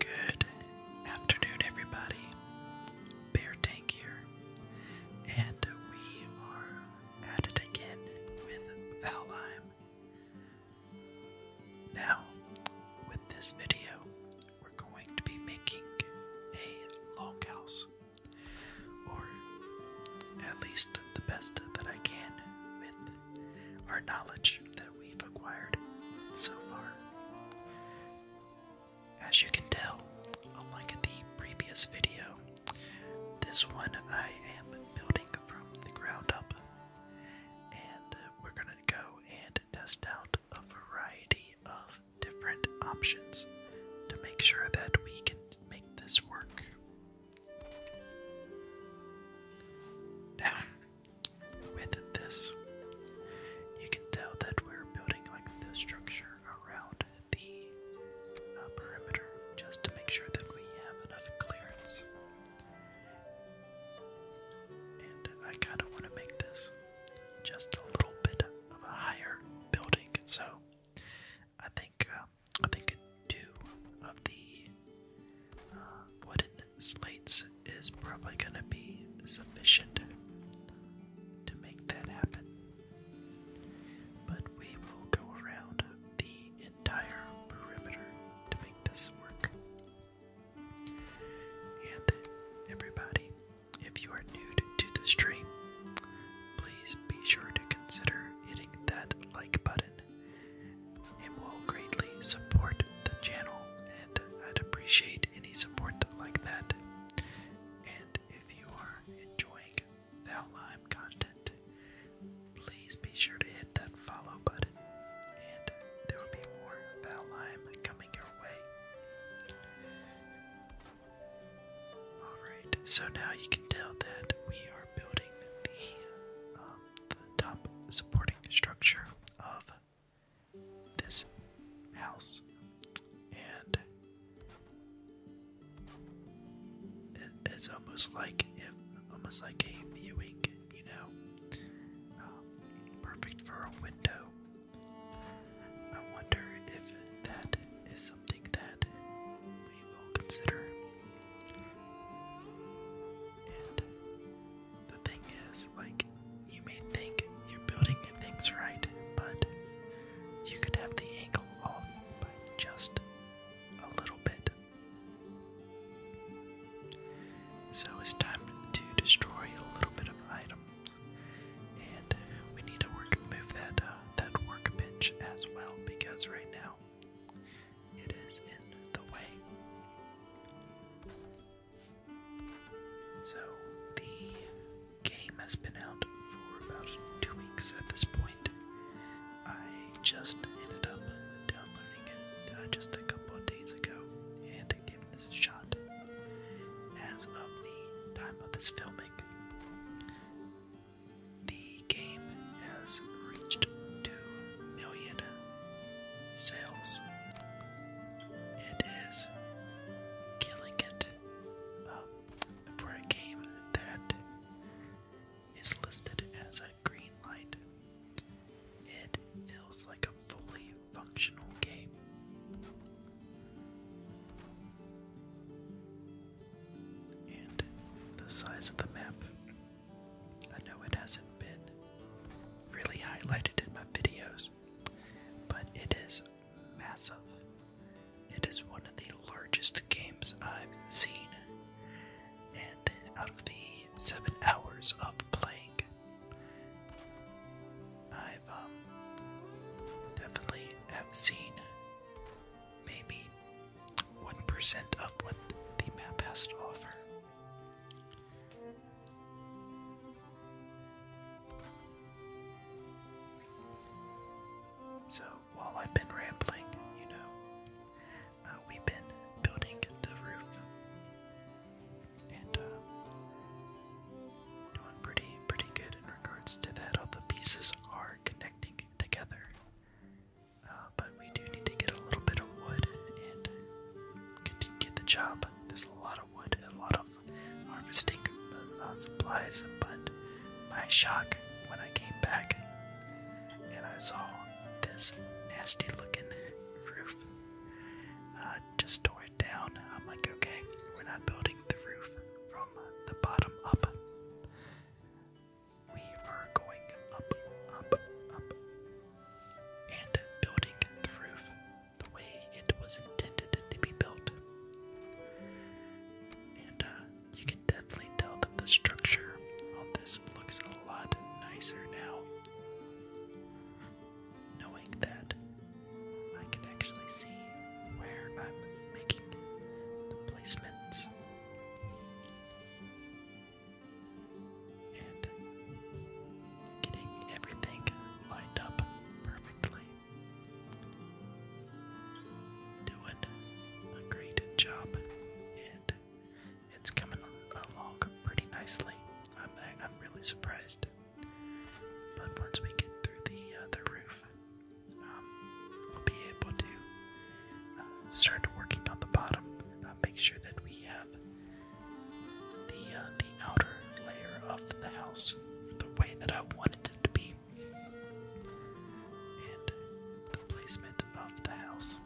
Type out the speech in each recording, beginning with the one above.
Good afternoon, everybody. Bear Tank here, and we are at it again with Valheim. Now, with this video, we're going to be making a longhouse, or at least the best that I can with our knowledge that we've acquired so far. As you can tell, unlike the previous video, this one I am building from the ground up, and we're gonna go and test out a variety of different options to make sure that we can make this work. Now, with this, you can tell that we're building like the structure around the uh, perimeter just to make sure that we have enough clearance. And I kind of want to make this just a little bit of a higher building, so I think uh, I think two of the wooden slates is probably going to be sufficient to make that happen. But we will go around the entire perimeter to make this work. And everybody, if you are new to the stream, please be sure to consider hitting that like button it will greatly support the channel, and I'd appreciate any support like that. And if you are enjoying Thou Lime content, please be sure to hit that follow button, and there will be more Thou coming your way. Alright, so now you can tell that we are building the um, top supporting structure of this house, and it's almost like it, almost like a viewing, you know, um, perfect for a window. I wonder if that is something that we will consider the thing is, like, you may think you're building things right, but you could have the angle off by just a little bit. So it's time to destroy a little bit of items, and we need to work move that uh, that workbench as well because right now it is in the way. So, the game has been out for about two weeks at this point. I just ended up downloading it uh, just a couple of days ago and giving this a shot. As of the time of this filming, the game has reached 2 million sales it is killing it um, for a game that is listed as a green light. It feels like a fully functional game. And the size of the map I know it hasn't been really highlighted in my videos, but it is massive. It is one of the largest games I've seen, and out of the seven hours of playing, I've um, definitely have seen maybe one percent of what the map has to offer. So, while I've been rambling, you know, uh, we've been building the roof and uh, doing pretty, pretty good in regards to that. All the pieces are connecting together, uh, but we do need to get a little bit of wood and get the job. There's a lot of wood and a lot of harvesting uh, supplies, but my shock when I came back and I saw this nasty looking roof. I uh, just tore it down. I'm like, okay, we're not building the roof from the bottom up. We are going up, up, up, and building the roof the way it was intended to be built. And uh, you can definitely tell that the structure on this looks a lot nicer now. Knowing that I can actually see where I'm making the placements and getting everything lined up perfectly. Doing a great job, and it's coming along pretty nicely. I'm I'm really surprised. But once we get through the uh, the roof, um, we'll be able to uh, start working on the bottom. Uh, make sure that we have the uh, the outer layer of the house the way that I wanted it to be, and the placement of the house.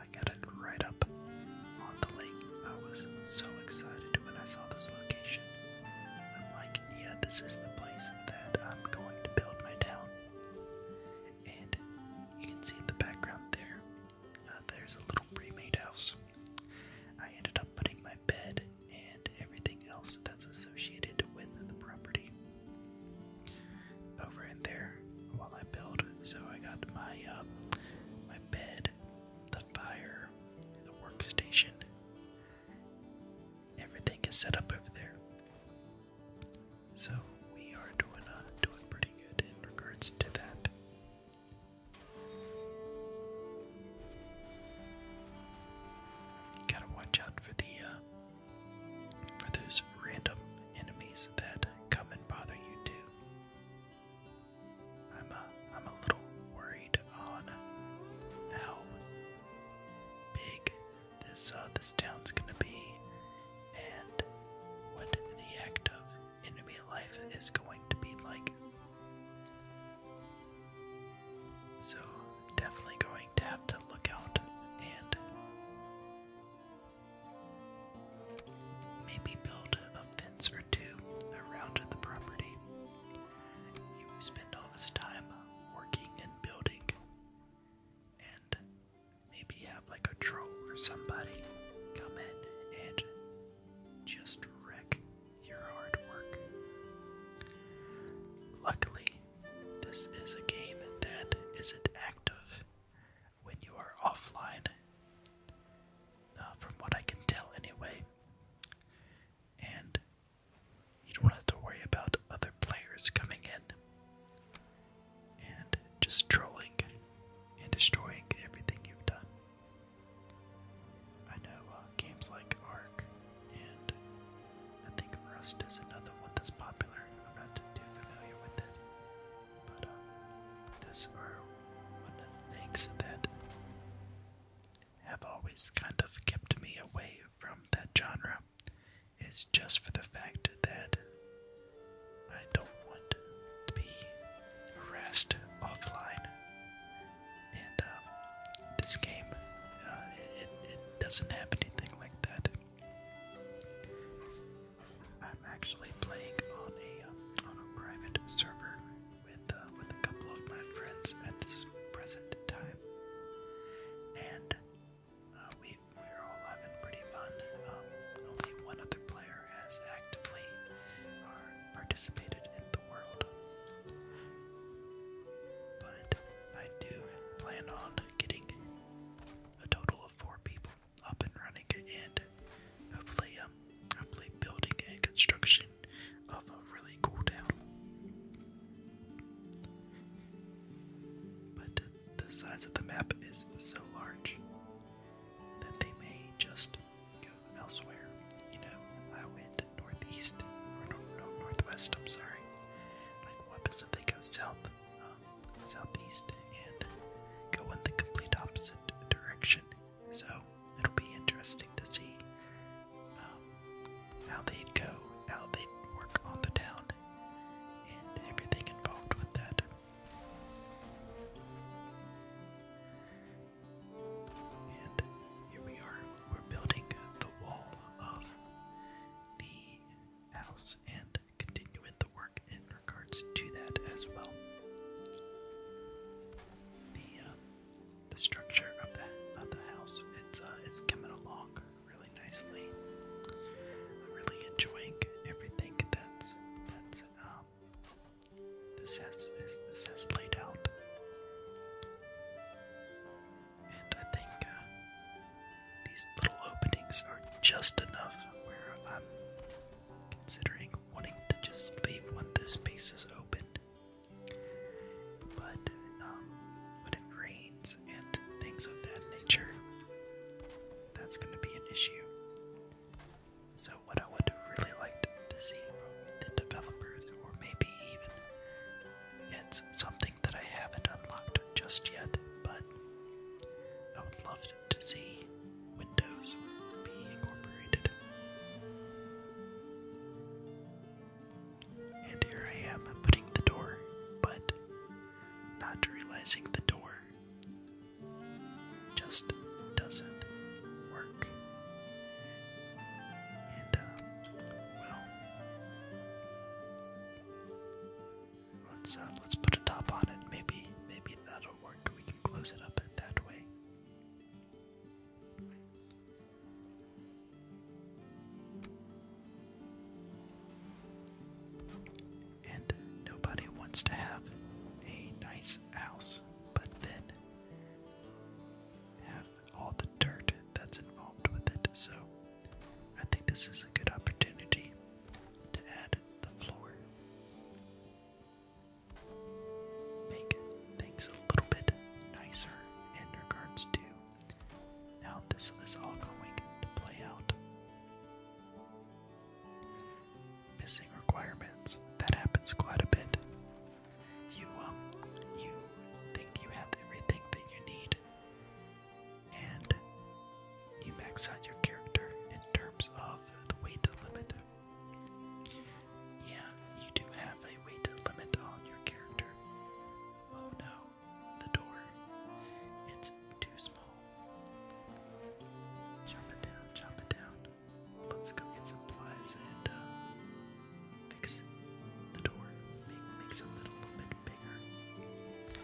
I got it right up on the lake. I was so excited when I saw this location. I'm like, yeah, this is the place that I'm going to build my town. And you can see in the background there uh, there's a little pre-made house. I ended up putting my bed and everything else that's associated with the property over in there while I build. So I got my uh, my bed, the fire, the workstation. Everything is set up over there. So we are doing uh, doing pretty good in regards to that gotta watch out for the uh, for those random enemies that come and bother you too. I'm a, I'm a little worried on how big this uh, this town's gonna be and what the act of enemy life is going to be like. So, definitely going to have to look out and maybe build a fence or two around the property. You spend all this time working and building, and maybe have like a troll or somebody come in and just wreck your hard work. Luckily, this is a game that isn't active when you are offline, uh, from what I can tell anyway, and you don't have to worry about other players coming in and just trolling and destroying everything you've done. I know uh, games like Ark, and I think Rust is another one that's popular. I'm not too familiar with it, but uh, those are the things that have always kind of kept me away from that genre. Is just for the fact that I don't want to be harassed offline. And um, this game, uh, it, doesn't have anything like that. I'm actually playing on a private server with uh, with a couple of my friends at this present time, and uh, we we're all having pretty fun. Um, only one other player has actively participated in the world. But I do plan on getting a total of four people up and running and hopefully um hopefully building and construction of a really cool town. But the size of the map is so large that they may just go elsewhere. You know, I went northeast, or northwest, I'm sorry. Like, what happens if they go south, um, southeast, and go in the complete opposite direction? So, it'll be interesting to see um, how they'd go, how they work on the town, and everything involved with that. And here we are. We're building the wall of the house and continuing the work in regards to that as well. The uh, the structure of the of the house it's uh, it's coming along really nicely. I'm really enjoying everything that's that's um, this has this has played out, and I think uh, these little openings are just enough where I'm considering wanting to just leave when the space is open. But um, when it rains and things of that nature, that's going to be an issue. So, what I would have really liked to see from the developers, or maybe even it's something that I haven't unlocked just yet, but I would love to see Windows be incorporated. And here I am putting the door, but not realizing the door just doesn't work. And, uh, well, let's uh, let's put a top on it. Maybe maybe that'll work. We can close it up that way and nobody wants to have a nice house, but then have all the dirt that's involved with it. So I think this is a good opportunity to add the floor. Make things a little bit nicer in regards to how this is all going to play out missing requirements. That happens quite a bit. You um you think you have everything that you need and you max out your character in terms of the weight limit. Yeah, you do have a weight limit on your character. Oh no, the door. It's too small. Chop it down, chop it down. Let's go get some and uh, fix the door. makes a little, bit bigger.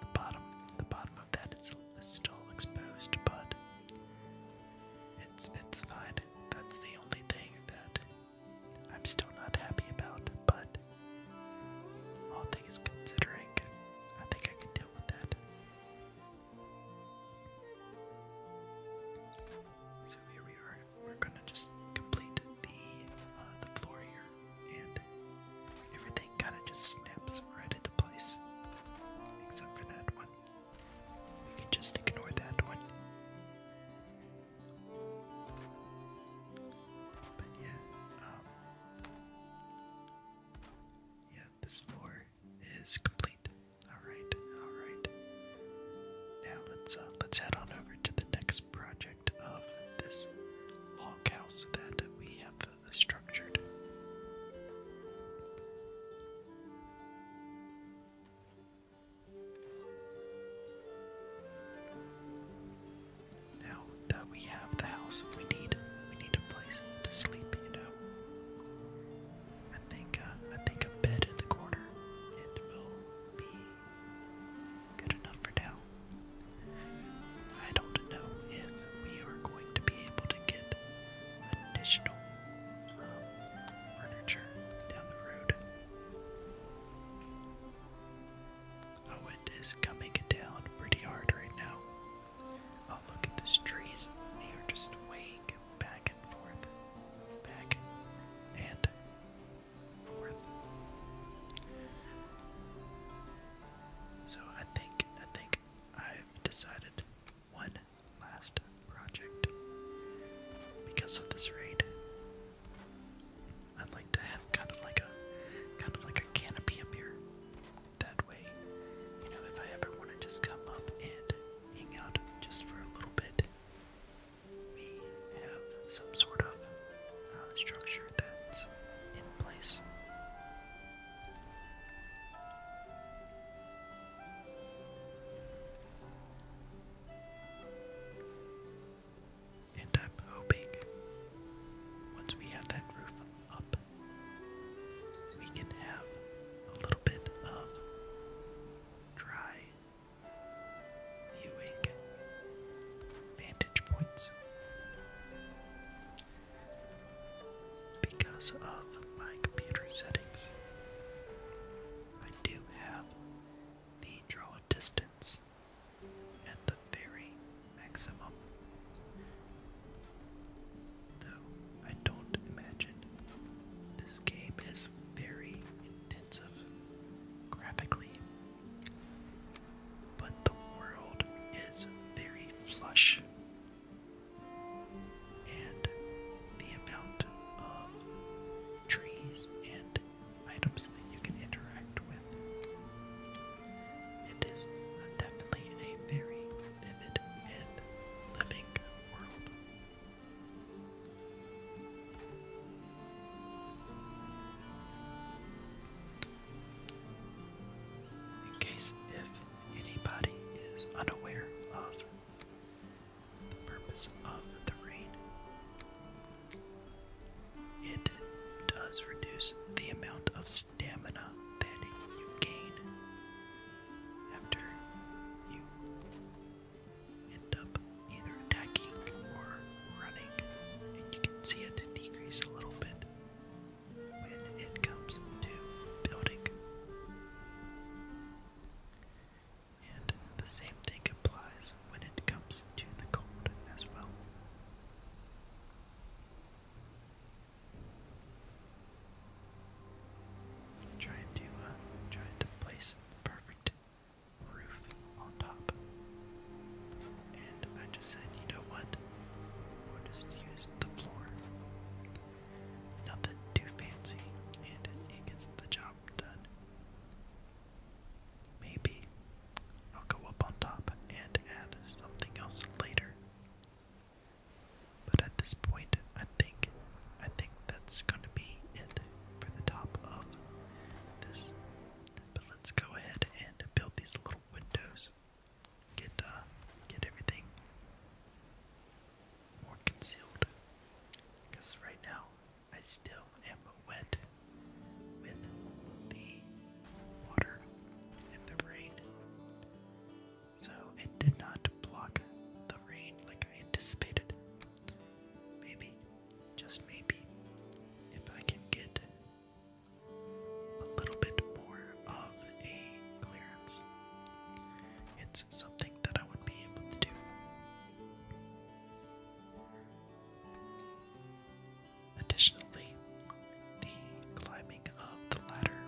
The bottom, the bottom of that is, still exposed, but it's it's fine. That's the only thing that I'm still not happy about, but all things considering, I think I can deal with that. So here we are. We're gonna just complete the uh, the floor here, and everything kind of just snaps right into place, except for that one. We can just ignore that one. But yeah, um, yeah, this floor is complete. Alright, alright. Now let's uh, let's head on over to the next project of this log house that we have uh, structured. Now that we have the house, we need we need a place to sleep, you know. I think uh, I think a bed in the corner it will be good enough for now. I don't know if we are going to be able to get additional um, furniture down the road. Oh, it is coming down pretty hard right now. Oh, look at these trees. They are just wake back and forth, back and forth. So I think I think I've decided one last project because of this raid. I'd like to have kind of like a kind of like a canopy up here. That way, you know, if I ever want to just come up and hang out just for a little bit, we have some sort of uh, structure that's in place. And I'm hoping once we have that roof up, we can have a little bit of dry viewing vantage points. Because of my computer settings, I do have the draw distance at the very maximum, Though I don't imagine. This game is very intensive graphically, but the world is very flush, and the amount of trees and items that you can interact with it is definitely a very vivid and living world. In case if anybody is unaware of the purpose of the rain, it does reduce the amount of stamina that you gain after you end up either attacking or running, and you can see it decrease a little bit when it comes to building. And the same thing applies when it comes to the cold as well. Trying to uh, trying to place the perfect roof on top. And I just said, you know what? We'll just use the floor. Nothing too fancy, and it gets the job done. Maybe I'll go up on top and add something else later. But at this point, I think I think that's gonna be it for the top of this. But let's go ahead and build these little windows. Get uh, get everything more concealed. Because right now I still am wet with the water and the rain. So it did not block the rain like I anticipated. Maybe, just maybe, if I can get a little bit more of a clearance, it's something that I would be able to do. Additionally, the climbing of the ladder.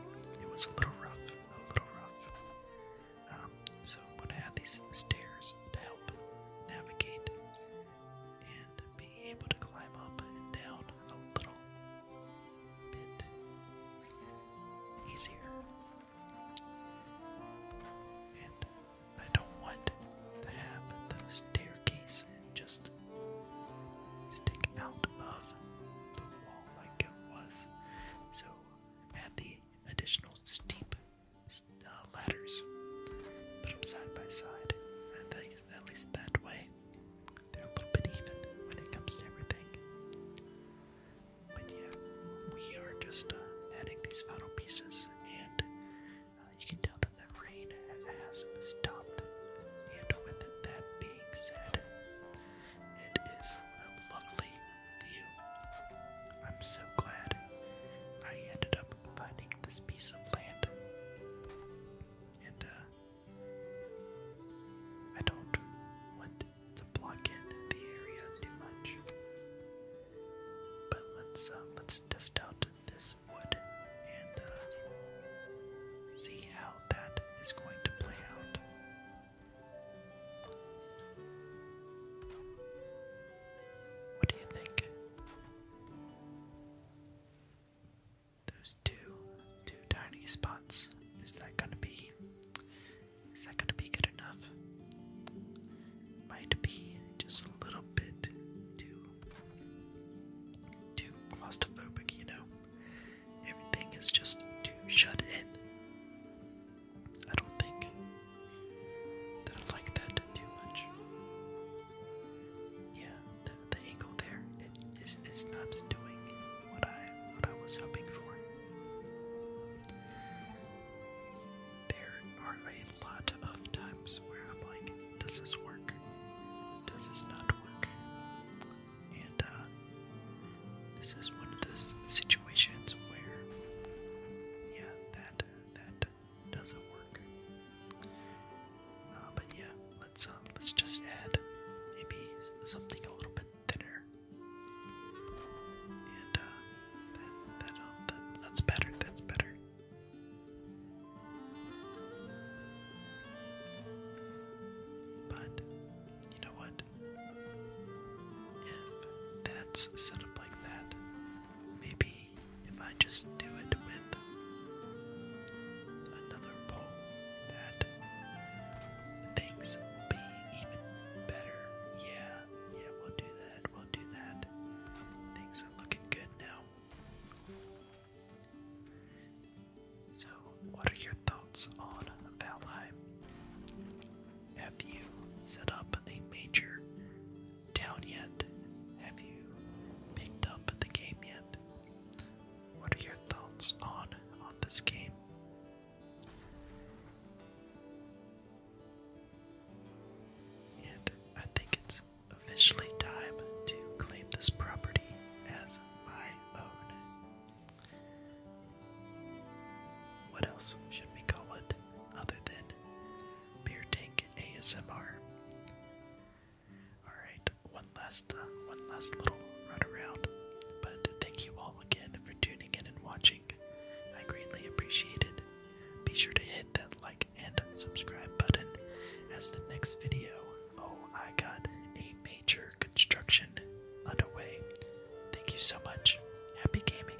It was a little rough, a little rough. Um, so I'm these stairs to help navigate and be able to climb up and down a little bit easier. And I don't want to have the staircase just stick out of the wall wall like it was. So add the additional steep uh, ladders, put them side by side. I at least that way they're a little bit even when it comes to everything. But yeah, we are just uh, adding these final pieces, and uh, you can tell that the rain has stopped. And with that being said, it is a lovely view. I'm so glad I ended up finding this piece of land. And, uh, I don't want to block in the area too much. But let's, uh, let's test out this wood and, uh, see how that is going to play out. What do you think? Those two, two tiny spots. Is that gonna be? Is that gonna be good enough? Might be just a little bit too, too claustrophobic, you know everything is just too shut in. I don't think that I like that too much. Yeah, the, angle there, it is not doing what I what I was hoping for. There are a lot of times where I'm like, does this work? Does this not work? And uh, this is one of those situations where, yeah, that that doesn't work. Uh, but yeah, let's um, let's just add maybe something a little bit thinner, and uh, that that that's better. That's better. But you know what? If that's set up like that, maybe if I just do it with another poll that things be even better. Yeah, yeah, we'll do that, we'll do that. Things are looking good now. So, what are your thoughts on Valheim? Have you set up a major town yet? Have you picked up the game yet? What are your thoughts on on this game? And I think it's officially time to claim this property as my own. What else should we call it other than Beer Tank ASMR? Alright, one last uh, one last little run around. But thank you all again for tuning in and watching. I greatly appreciate it. Be sure to hit that like and subscribe button as the next video Oh, I got a major construction underway. Thank you so much. Happy gaming.